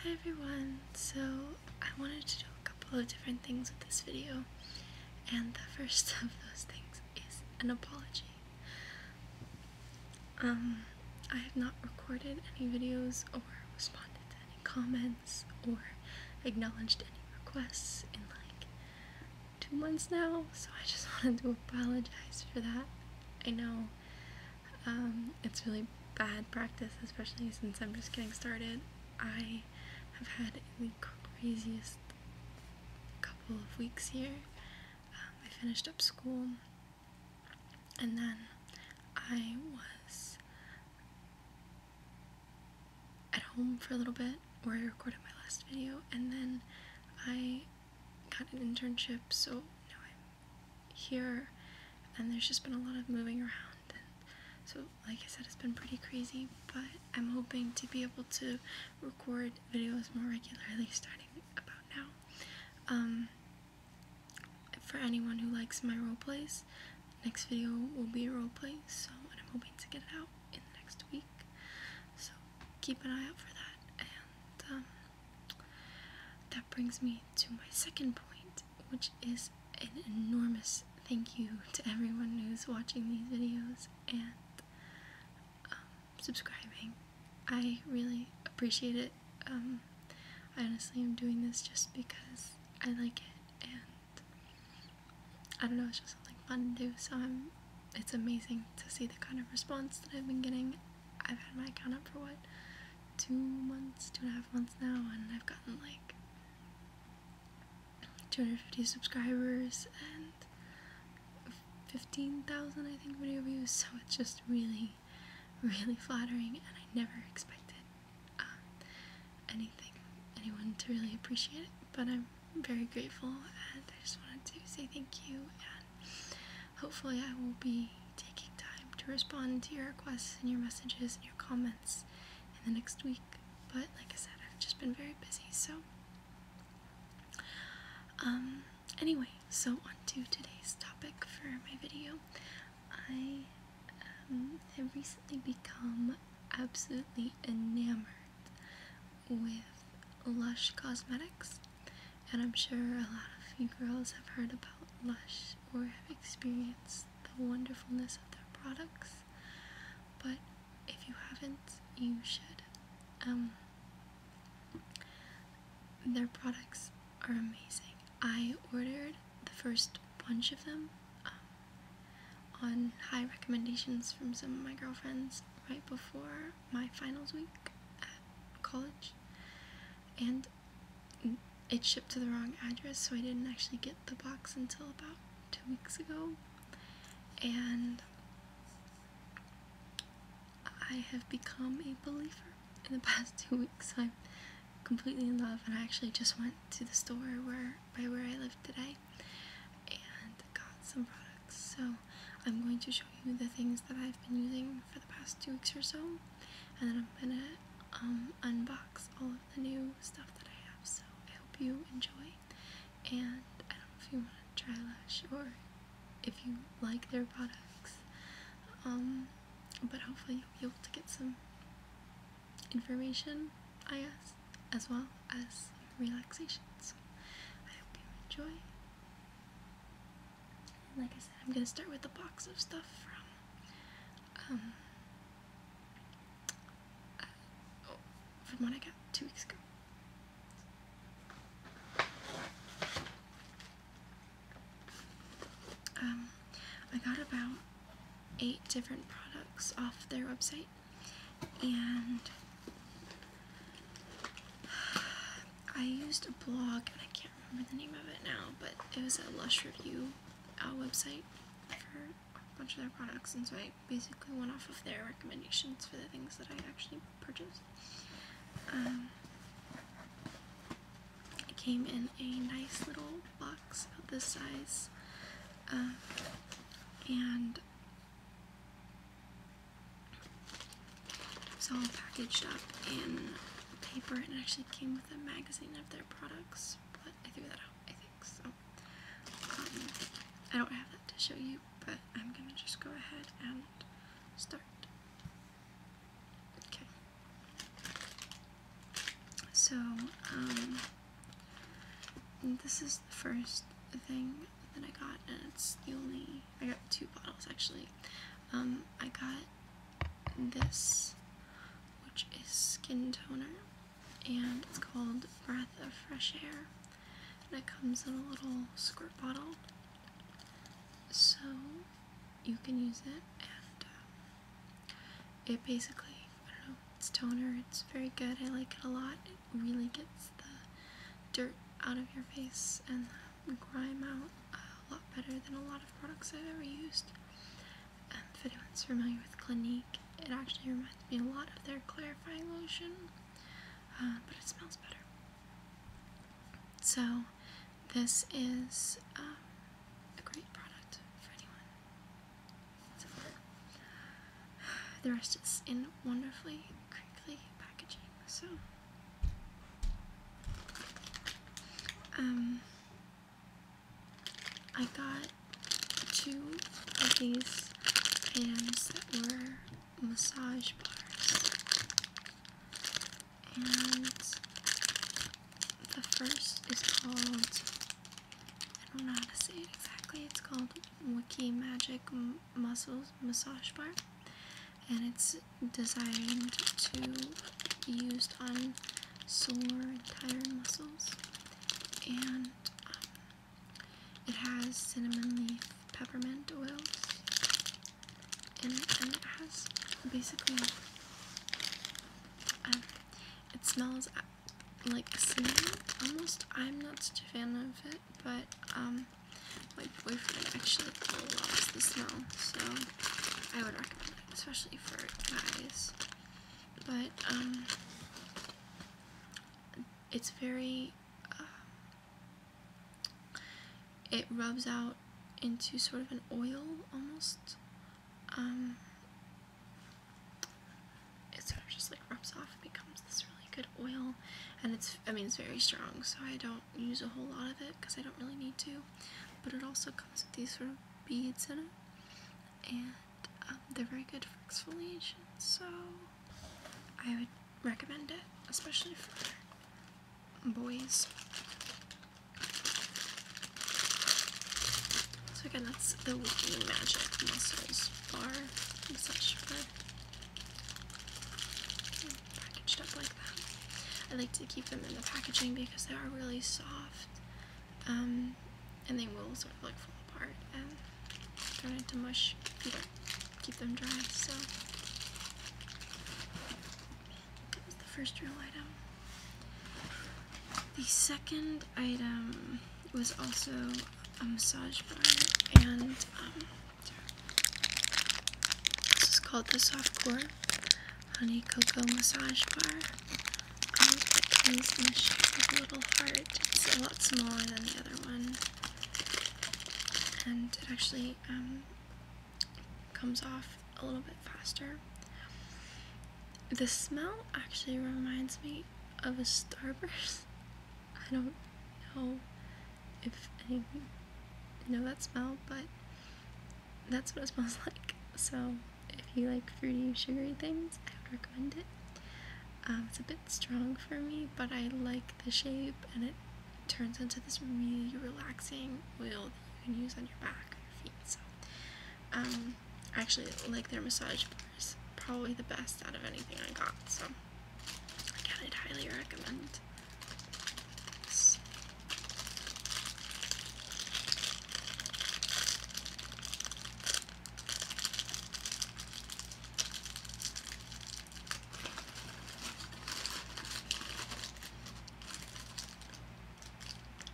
Hi everyone! So I wanted to do a couple of different things with this video and the first of those things is an apology. Um, I have not recorded any videos or responded to any comments or acknowledged any requests in like two months now so I just wanted to apologize for that. I know um, it's really bad practice, especially since I'm just getting started. I have had the craziest couple of weeks here. Um, I finished up school and then I was at home for a little bit where I recorded my last video and then I got an internship so now I'm here, and there's just been a lot of moving around. so, like I said, it's been pretty crazy, but I'm hoping to be able to record videos more regularly starting about now. Um, for anyone who likes my role plays, next video will be a role play, so I'm hoping to get it out in the next week. So keep an eye out for that, and um, that brings me to my second point, which is an enormous thank you to everyone who's watching these videos and um, subscribing. I really appreciate it. Um, I honestly am doing this just because I like it and I don't know, it's just something fun to do, so I'm, it's amazing to see the kind of response that I've been getting I've had my account up for what two months, two and a half months now, and I've gotten like 250 subscribers and 15,000 I think video views. So it's just really, really flattering, and I never expected um, anything, anyone to really appreciate it. But I'm very grateful, and I just wanted to say thank you. Hopefully, I will be taking time to respond to your requests and your messages and your comments in the next week. But like I said, I've just been very busy, so. Um, anyway, so on to today's topic for my video. I um, have recently become absolutely enamored with Lush Cosmetics. And I'm sure a lot of you girls have heard about Lush or have experienced the wonderfulness of their products. But if you haven't, you should. Um, their products are amazing. I ordered the first bunch of them um, on high recommendations from some of my girlfriends right before my finals week at college, and it shipped to the wrong address, so I didn't actually get the box until about two weeks ago. And I have become a believer in the past two weeks. I'm completely in love, and I actually just went to the store where by where I live today and got some products. So I'm going to show you the things that I've been using for the past two weeks or so, and then I'm gonna um, unbox all of the new stuff that I have. So I hope you enjoy, and I don't know if you want to try Lash or if you like their products, um, but hopefully you'll be able to get some information, I guess, as well as relaxation. So I hope you enjoy like I said, I'm gonna start with a box of stuff from, um, uh, from what I got two weeks ago. Um, I got about eight different products off their website, and I used a blog, and I can't remember the name of it now, but it was a Lush Review uh, website for a bunch of their products, and so I basically went off of their recommendations for the things that I actually purchased. Um, it came in a nice little box about this size, um, and it's all packaged up in paper and actually came with a magazine of their products, but I threw that out, I think, so. Um, I don't have that to show you, but I'm going to just go ahead and start. Okay. So, um, this is the first thing that I got, and it's the only I got two bottles actually. Um, I got this, which is skin toner, and it's called Breath of Fresh Air, and it comes in a little squirt bottle, so you can use it, and um, it basically I don't know, it's toner. It's very good. I like it a lot. It really gets the dirt out of your face and the grime out a lot better than a lot of products I've ever used. if anyone's familiar with Clinique, it actually reminds me a lot of their clarifying lotion, uh, but it smells better. So, this is um, a great product for anyone. the rest is in wonderfully crinkly packaging, so um, I got two of these items that were massage bars. And the first is called, I don't know how to say it exactly, it's called Wiki Magic muscles massage bar and it's designed to be used on sore tired muscles and um, it has cinnamon leaf peppermint oils and it has basically um, it smells uh, like cinnamon almost I'm not such a fan of it but um my boyfriend actually loves the smell, so I would recommend it, especially for guys. But, um, it's very, uh, it rubs out into sort of an oil, almost. Um, it sort of just like rubs off and becomes this really good oil, and it's, I mean, it's very strong, so I don't use a whole lot of it because I don't really need to. But it also comes with these sort of beads in it, and um, they're very good for exfoliation, so I would recommend it, especially for boys. So again, that's the Wiki Magic Muscles bar and such packaged up like that. I like to keep them in the packaging because they are really soft um, and they will sort of like fall apart and turn into mush if keep them dry. So the first real item. The second item was also a massage bar and um, this is called the soft core Honey Cocoa Massage Bar. Um, a little heart. It's a lot smaller than the other one. And it actually um, comes off a little bit faster. The smell actually reminds me of a Starburst. I don't know if any know that smell, but that's what it smells like. So if you like fruity, sugary things, I would recommend it. Um, it's a bit strong for me, but I like the shape, and it turns into this really relaxing oil that you can use on your back or your feet. So, um, actually, like their massage bars. probably the best out of anything I got. So, I'd highly recommend this.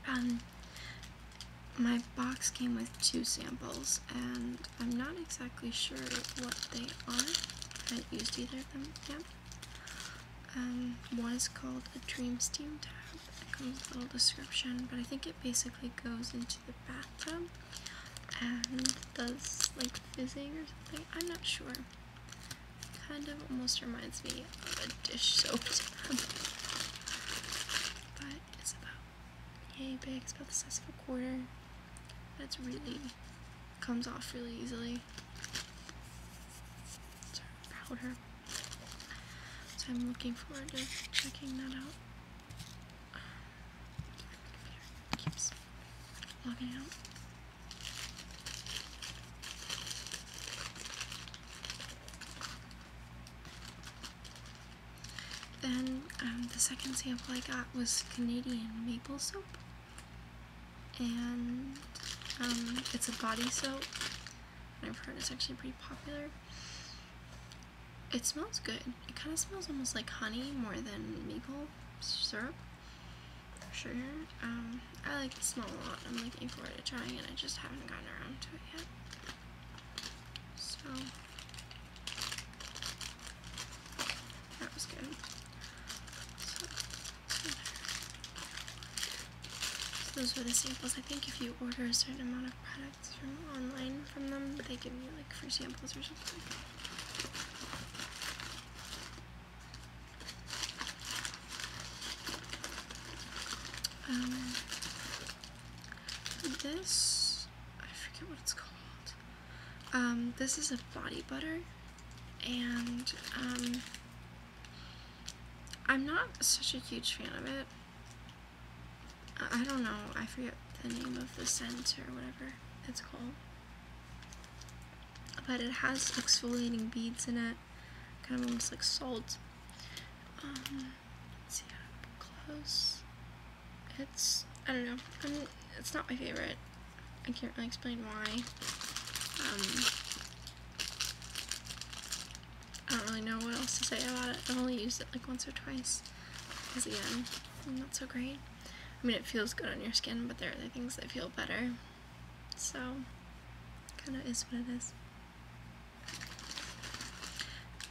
Um, my box came with two samples, and I'm not exactly sure what they are. I haven't used either of them yet. Um, one is called a Dream Steam tub. It comes with a little description, but I think it basically goes into the bathtub and does like fizzing or something. I'm not sure. kind of almost reminds me of a dish soap tub. but it's about yay big. It's about the size of a quarter. That's really comes off really easily. powder. So I'm looking forward to checking that out. keeps logging out. Then um, the second sample I got was Canadian maple soap. And um, it's a body soap. I've heard it's actually pretty popular. It smells good. It kind of smells almost like honey more than maple syrup. sugar. Um, I like the smell a lot. I'm looking forward to trying it. I just haven't gotten around to it yet. So, that was good. So, those were the samples. I think if you order a certain amount of products from online from them, they give you like free samples or something. Um, this, I forget what it's called. Um, this is a body butter, and um, I'm not such a huge fan of it. I, don't know, I forget the name of the scent or whatever it's called. But it has exfoliating beads in it, kind of almost like salt. Um, let's see close. It's, I don't know, I'm, it's not my favorite. I can't really explain why. Um, I don't really know what else to say about it. I've only used it like once or twice. Because again, not so great. I mean, it feels good on your skin, but there are other things that feel better. So, kind of is what it is.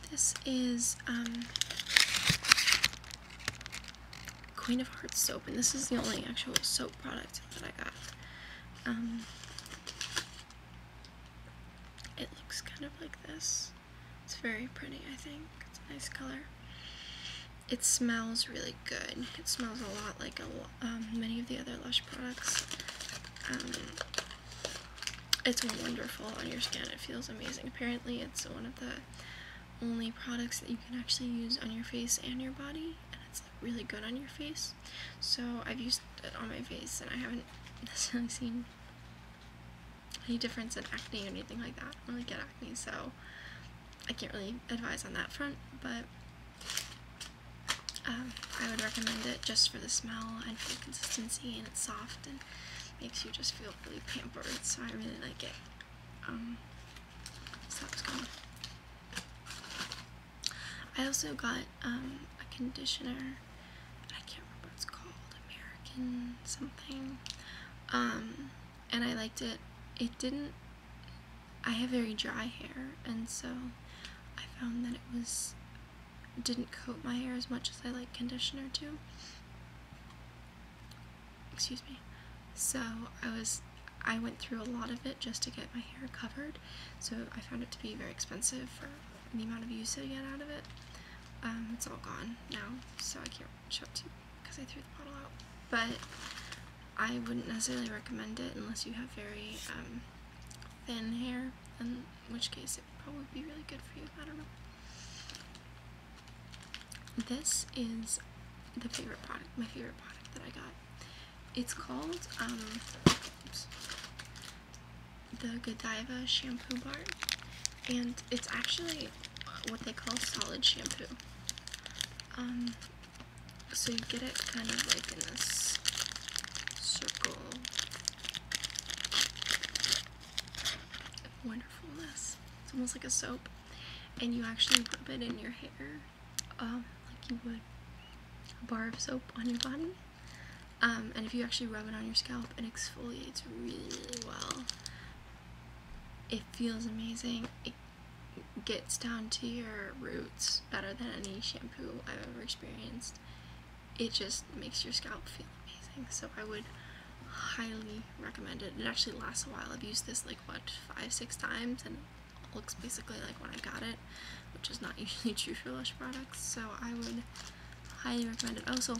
This is, um, Queen of Hearts soap, and this is the only actual soap product that I got. Um, it looks kind of like this. It's very pretty, I think. It's a nice color. It smells really good. It smells a lot like a, um, many of the other Lush products. Um, it's wonderful on your skin. It feels amazing. Apparently, it's one of the only products that you can actually use on your face and your body, and it's really good on your face. So I've used it on my face, and I haven't necessarily seen any difference in acne or anything like that. I don't really get acne, so I can't really advise on that front, but um, I would recommend it just for the smell and for the consistency, and it's soft and makes you just feel really pampered, so I really like it. Um, I also got um, a conditioner. I can't remember what it's called. American something. Um, and I liked it. It didn't. I have very dry hair, and so I found that it was didn't coat my hair as much as I like conditioner to excuse me. So I was I went through a lot of it just to get my hair covered. So I found it to be very expensive for the amount of use I get out of it. Um, it's all gone now, so I can't show it to you because I threw the bottle out. But I wouldn't necessarily recommend it unless you have very um, thin hair, in which case it would probably be really good for you. I don't know. This is the favorite product, my favorite product that I got. It's called um, the Godiva shampoo bar, and it's actually what they call solid shampoo. Um, so you get it kind of like in this circle wonderfulness. It's almost like a soap, and you actually rub it in your hair, um, like you would a bar of soap on your body. Um, and if you actually rub it on your scalp, it exfoliates really, really well. It feels amazing. It gets down to your roots better than any shampoo I've ever experienced. It just makes your scalp feel amazing. So I would highly recommend it. It actually lasts a while. I've used this like what five, six times and looks basically like when I got it, which is not usually true for Lush products. So I would highly recommend it. Also,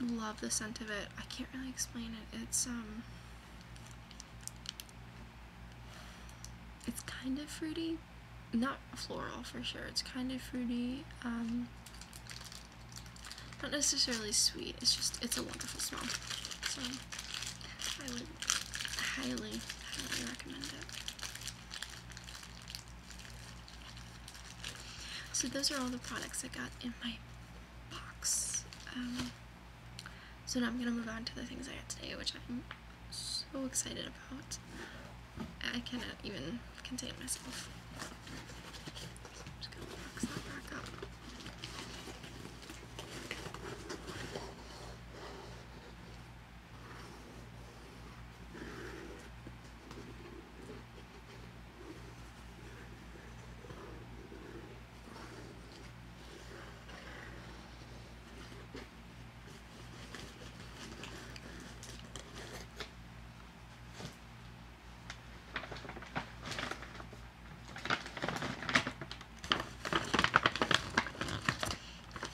love the scent of it. I can't really explain it. It's um it's kind of fruity. Not floral for sure. It's kind of fruity. Um, not necessarily sweet, it's just, it's a wonderful smell. So, I would highly, highly recommend it. So those are all the products I got in my box. Um, so now I'm going to move on to the things I got today, which I'm so excited about. I cannot even contain myself. I'm just gonna box that back up. Okay,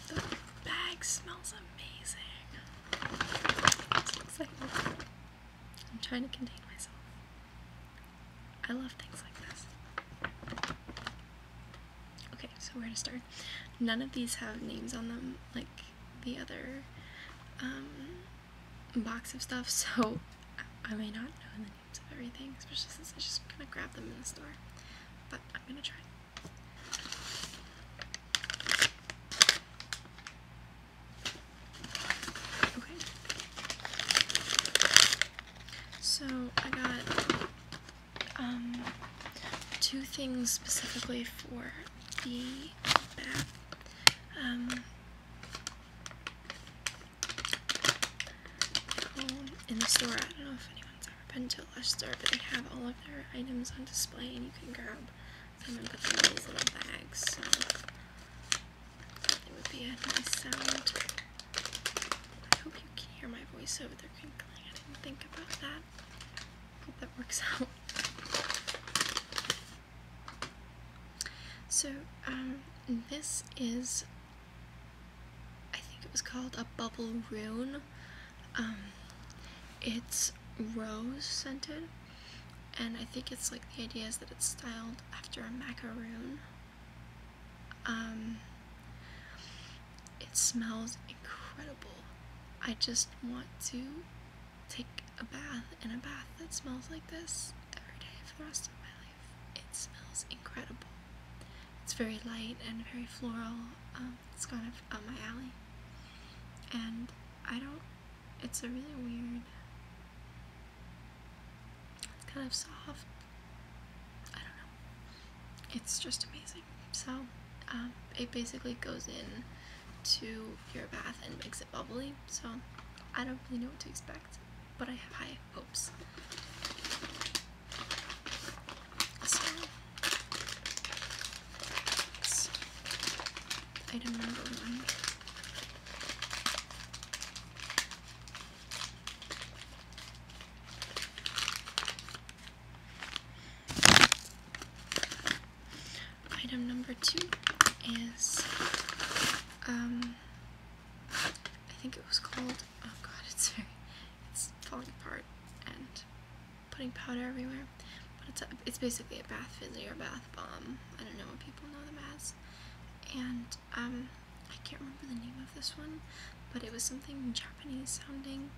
the bag smells amazing. I'm trying to contain myself. I love things like this. Okay, so where to start? None of these have names on them like the other um, box of stuff, so I may not know the names of everything, especially since I just kind of grabbed them in the store. But I'm gonna try. Okay. So I got um, two things specifically for the back um, in the store, I don't know if anyone's ever been to a Lush store, but they have all of their items on display and you can grab them and put them in these little bags. So it would be a nice sound. I hope you can hear my voice over there crinkling. I didn't think about that. Hope that works out. So, um, this is, I think it was called a bubble rune. Um, it's rose scented, and I think it's like the idea is that it's styled after a macaroon. Um, it smells incredible. I just want to take a bath in a bath that smells like this every day for the rest of my life. It smells incredible. It's very light and very floral. Um, it's kind of up my alley. And I don't, it's a really weird, it's kind of soft. I don't know. It's just amazing. So, um, it basically goes in to your bath and makes it bubbly. So I don't really know what to expect, but I have high hopes. item number one. Item number two is, um, I think it was called, oh god, it's very, it's falling apart and putting powder everywhere, but it's, a, it's basically a bath fizzy or bath bomb, I don't know what people know the as, and, um, I can't remember the name of this one, but it was something Japanese sounding,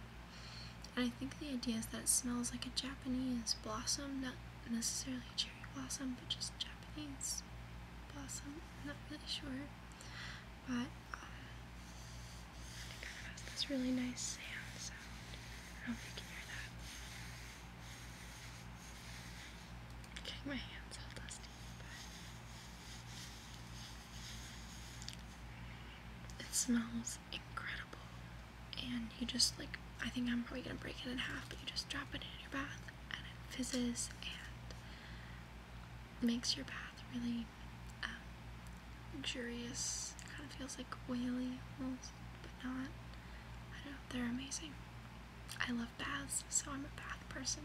and I think the idea is that it smells like a Japanese blossom, not necessarily cherry blossom, but just Japanese blossom. I'm not really sure. But um, it kind of this really nice sand sound. I do you can hear that. getting my hands all dusty, but it smells incredible. And you just like, I think I'm probably gonna break it in half, but you just drop it in your bath and it fizzes and makes your bath really um, luxurious. kind of feels like oily but not. I know, they're amazing. I love baths, so I'm a bath person.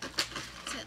That's it,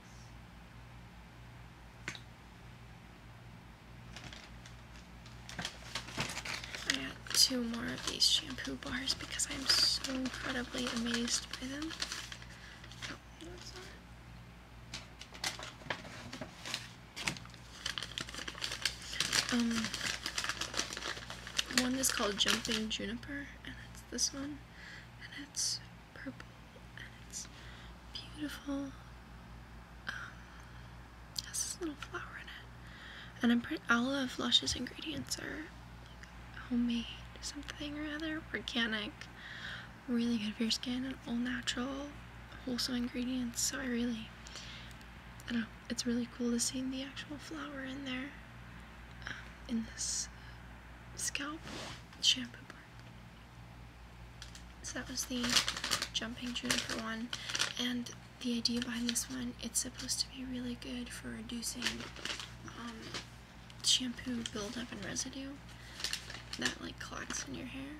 I got two more of these shampoo bars because I'm so incredibly amazed by them. Oh, um, one is called Jumping Juniper, and it's this one, and it's purple and it's beautiful. Um, has this little flower in it, and I'm pretty. All of Lush's ingredients are homemade, something or other, organic, really good for your skin, and all natural, wholesome ingredients. So I really, I don't know. It's really cool to see the actual flower in there, um, in this scalp shampoo bar. So that was the Jumping Juniper one. And the idea behind this one, it's supposed to be really good for reducing um, shampoo buildup and residue that like collects in your hair.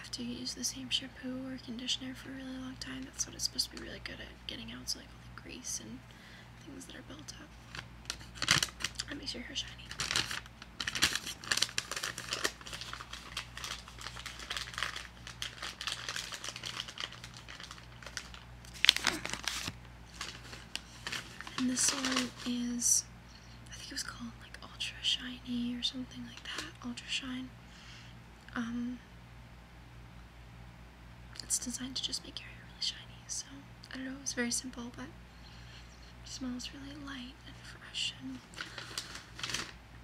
After you use the same shampoo or conditioner for a really long time, that's what it's supposed to be really good at, getting out so like all the grease and things that are built up. That makes your hair shiny. And this one is, I think it was called like Ultra Shiny or something like that, Ultra Shine. Um, it's designed to just make your hair really shiny, so I don't know, it was very simple, but it smells really light and fresh and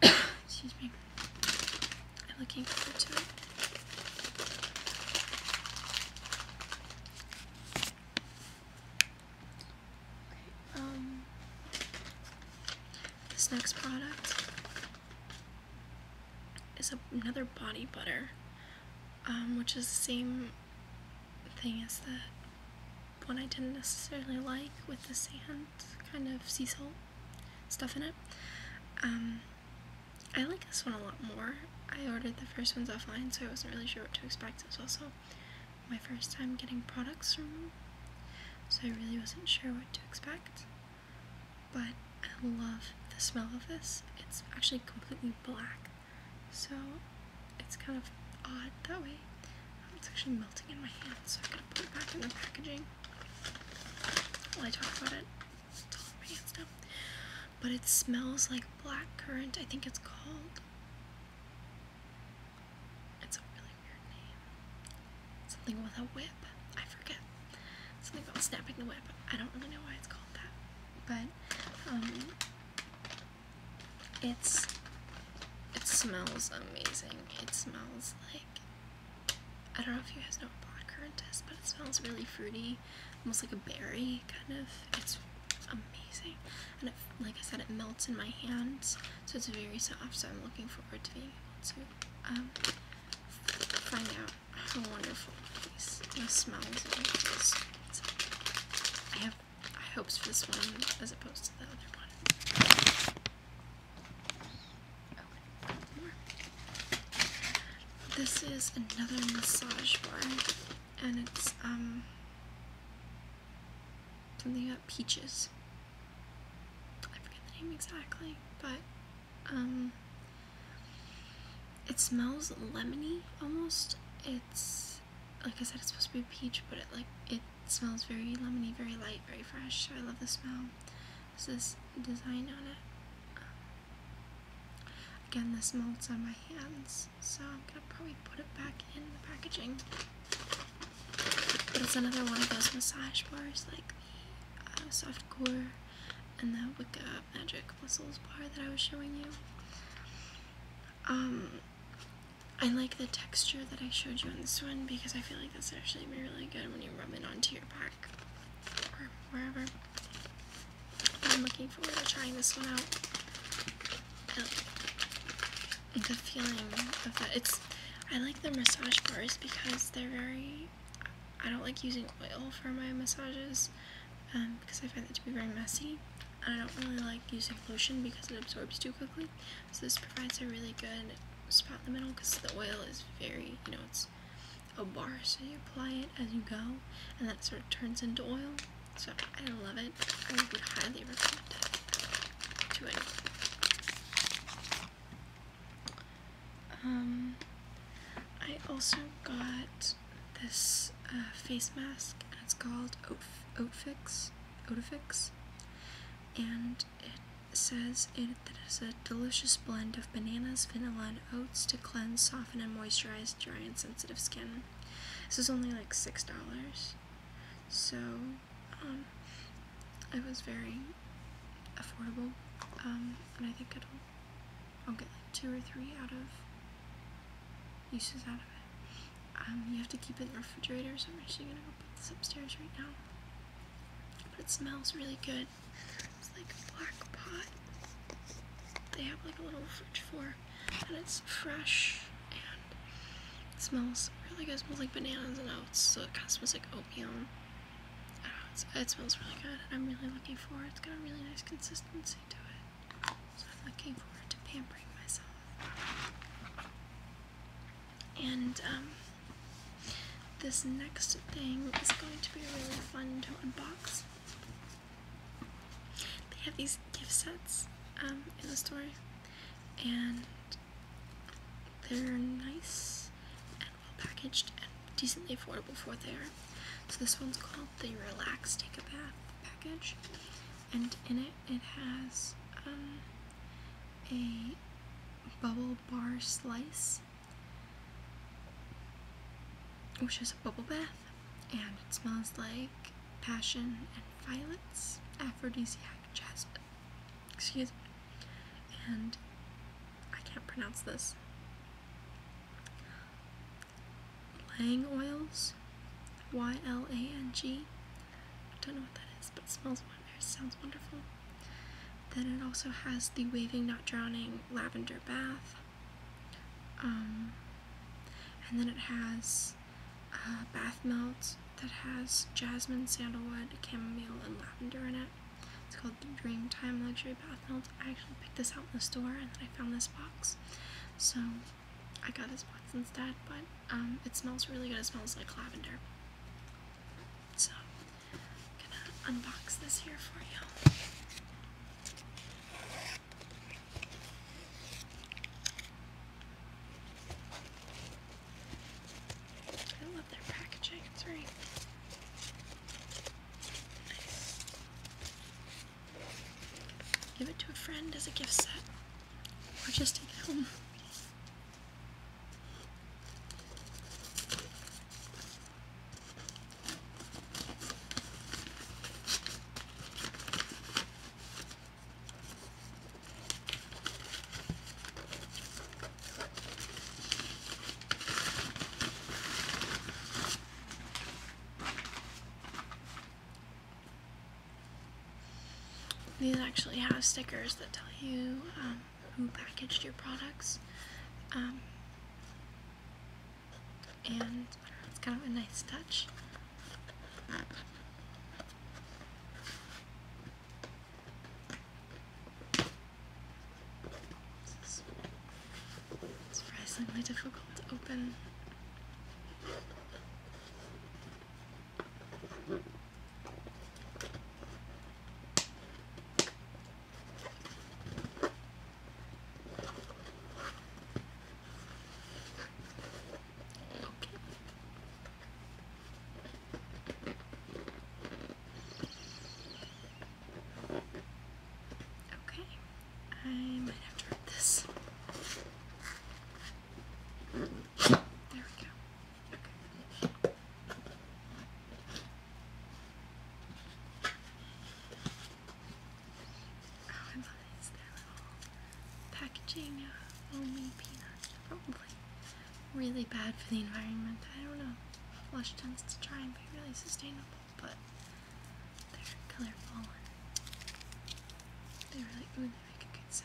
excuse me. I'm looking forward to it. um this next product is another body butter. Um, which is the same thing is that one I didn't necessarily like with the sand kind of sea salt stuff in it. Um, I like this one a lot more. I ordered the first ones offline, so I wasn't really sure what to expect. As well, so my first time getting products from them, so I really wasn't sure what to expect. But I love the smell of this. It's actually completely black. So it's kind of odd that way. Um, it's actually melting in my hand, so I'm gonna put it back in the packaging while I talk about it. It's But it smells like black currant, I think it's called. It's a really weird name. Something with a whip. I forget. Something about snapping the whip. I don't really know why it's called that. But um it's it smells amazing. It smells like I don't know if you guys know what blackcurrant is, but it smells really fruity, almost like a berry kind of. It's amazing, and like I said, it melts in my hands, so it's very soft. So I'm looking forward to being able to um, find out how wonderful this smells I have I hope for this one as opposed to the other one. This is another massage bar, and it's um something about peaches. I forget the name exactly, but um it smells lemony almost. It's like I said, it's supposed to be peach, but it like it smells very lemony, very light, very fresh. So I love the smell. This is design on it. again, this melts on my hands, so I'm gonna probably put it back in the packaging. But it's another one of those massage bars, like the uh, soft core and the up magic whistles bar that I was showing you. Um, I like the texture that I showed you on this one because I feel like that's actually be really good when you rub it onto your back or wherever. I'm looking forward to trying this one out. Like the feeling of that. It's I like the massage bars because they're very I don't like using oil for my massages um, because I find that to be very messy. I don't really like using lotion because it absorbs too quickly. So this provides a really good spot in the middle because the oil is very, you know, it's a bar. So you apply it as you go and that sort of turns into oil. So I love it. I would highly recommend it to anyone. Um, I also got this uh, face mask, and it's called Oatfix, fix and it says it, it is a delicious blend of bananas, vanilla, and oats to cleanse, soften, and moisturize dry and sensitive skin. This is only like six dollars, so um, it was very affordable, um, and I think it'll I'll get like two or three out of uses out of it. Um, you have to keep it in the refrigerator, so I'm actually gonna go put this upstairs right now. But it smells really good. It's like a black pot. They have like a little fridge for, and it's fresh and it smells really good. smells like bananas and oats, so it kind of smells like oatmeal. Know, it smells really good, and I'm really looking forward. It's got a really nice consistency to it. So I'm looking forward to pampering myself. And um, this next thing is going to be really fun to unbox. They have these gift sets um, in the store, and they're nice and well packaged and decently affordable for what they are. So this one's called the Relax Take a Bath package, and in it it has um, a bubble bar slice, which is a bubble bath, and it smells like passion and violets, aphrodisiac jasmine. Excuse me, and I can't pronounce this. Lang oils, Y L A N G. I don't know what that is, but it smells wonderful. sounds wonderful. Then it also has the Waving Not Drowning Lavender Bath. Um, and then it has bath melt that has jasmine, sandalwood, chamomile, and lavender in it. It's called the time Luxury Bath I actually picked this out in the store and then I found this box. So I got this box instead, but um, it smells really good. It smells like lavender. So I'm gonna unbox this here for you. I love their packaging, it's very nice. Give it to a friend as a gift set, or just take it home. These actually have stickers that tell you um, who packaged your products. Um, and it's kind of a nice touch surprisingly difficult to open. Okay, I might have to rip this. There we go. Oh, I love It's their little packaging of homemade peanuts. Probably really bad for the environment. I don't know. Lush tends to try and be really sustainable but they're colorful and they really, really make a good sound.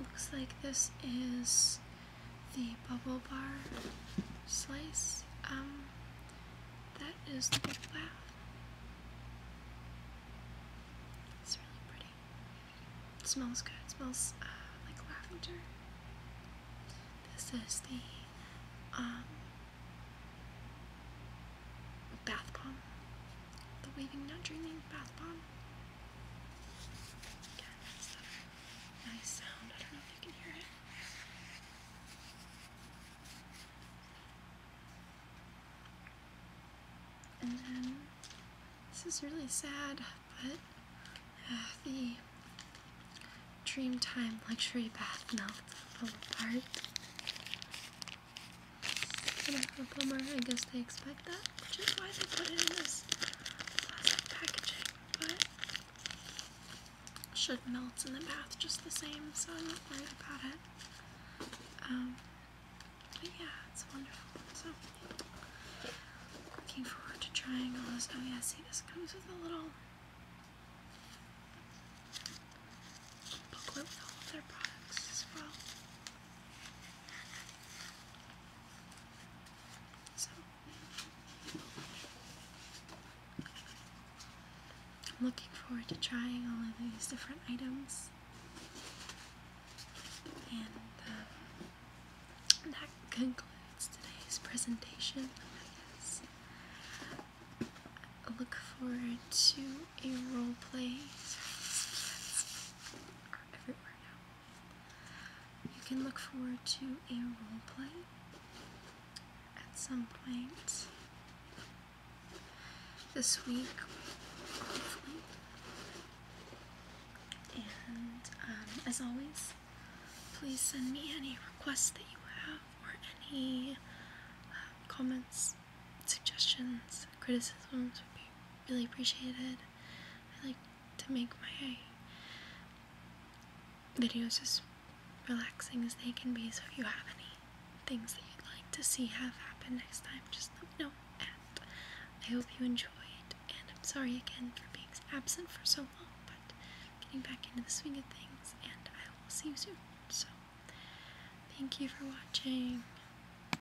Looks like this is the bubble bar slice. Um, that is the bath. laugh. It's really pretty. smells good. smells uh, like lavender. This is the um, bath bomb. The weaving, not dreaming bath bomb. nice sound. I don't know if you can hear it. And then this is really sad, but uh, the Dreamtime luxury bath melt fell apart. Kind of I guess they expected should melt in the bath just the same, so I'm not worried about it. Um, but yeah, it's wonderful. So, looking forward to triangles. Oh yeah, see, this comes with a little booklet with all their products as well looking forward to trying all of these different items. And um, that concludes today's presentation, I guess. look forward to a role play. You can look forward to a role play at some point this week, And um, as always, please send me any requests that you have or any uh, comments, suggestions, criticisms really appreciated. I like to make my videos as relaxing as they can be, so if you have any things that you'd like to see have happen next time, just let me know. And I hope you enjoyed, and I'm sorry again for being absent for so long, but getting back into the swing of things, and I will see you soon. So, thank you for watching.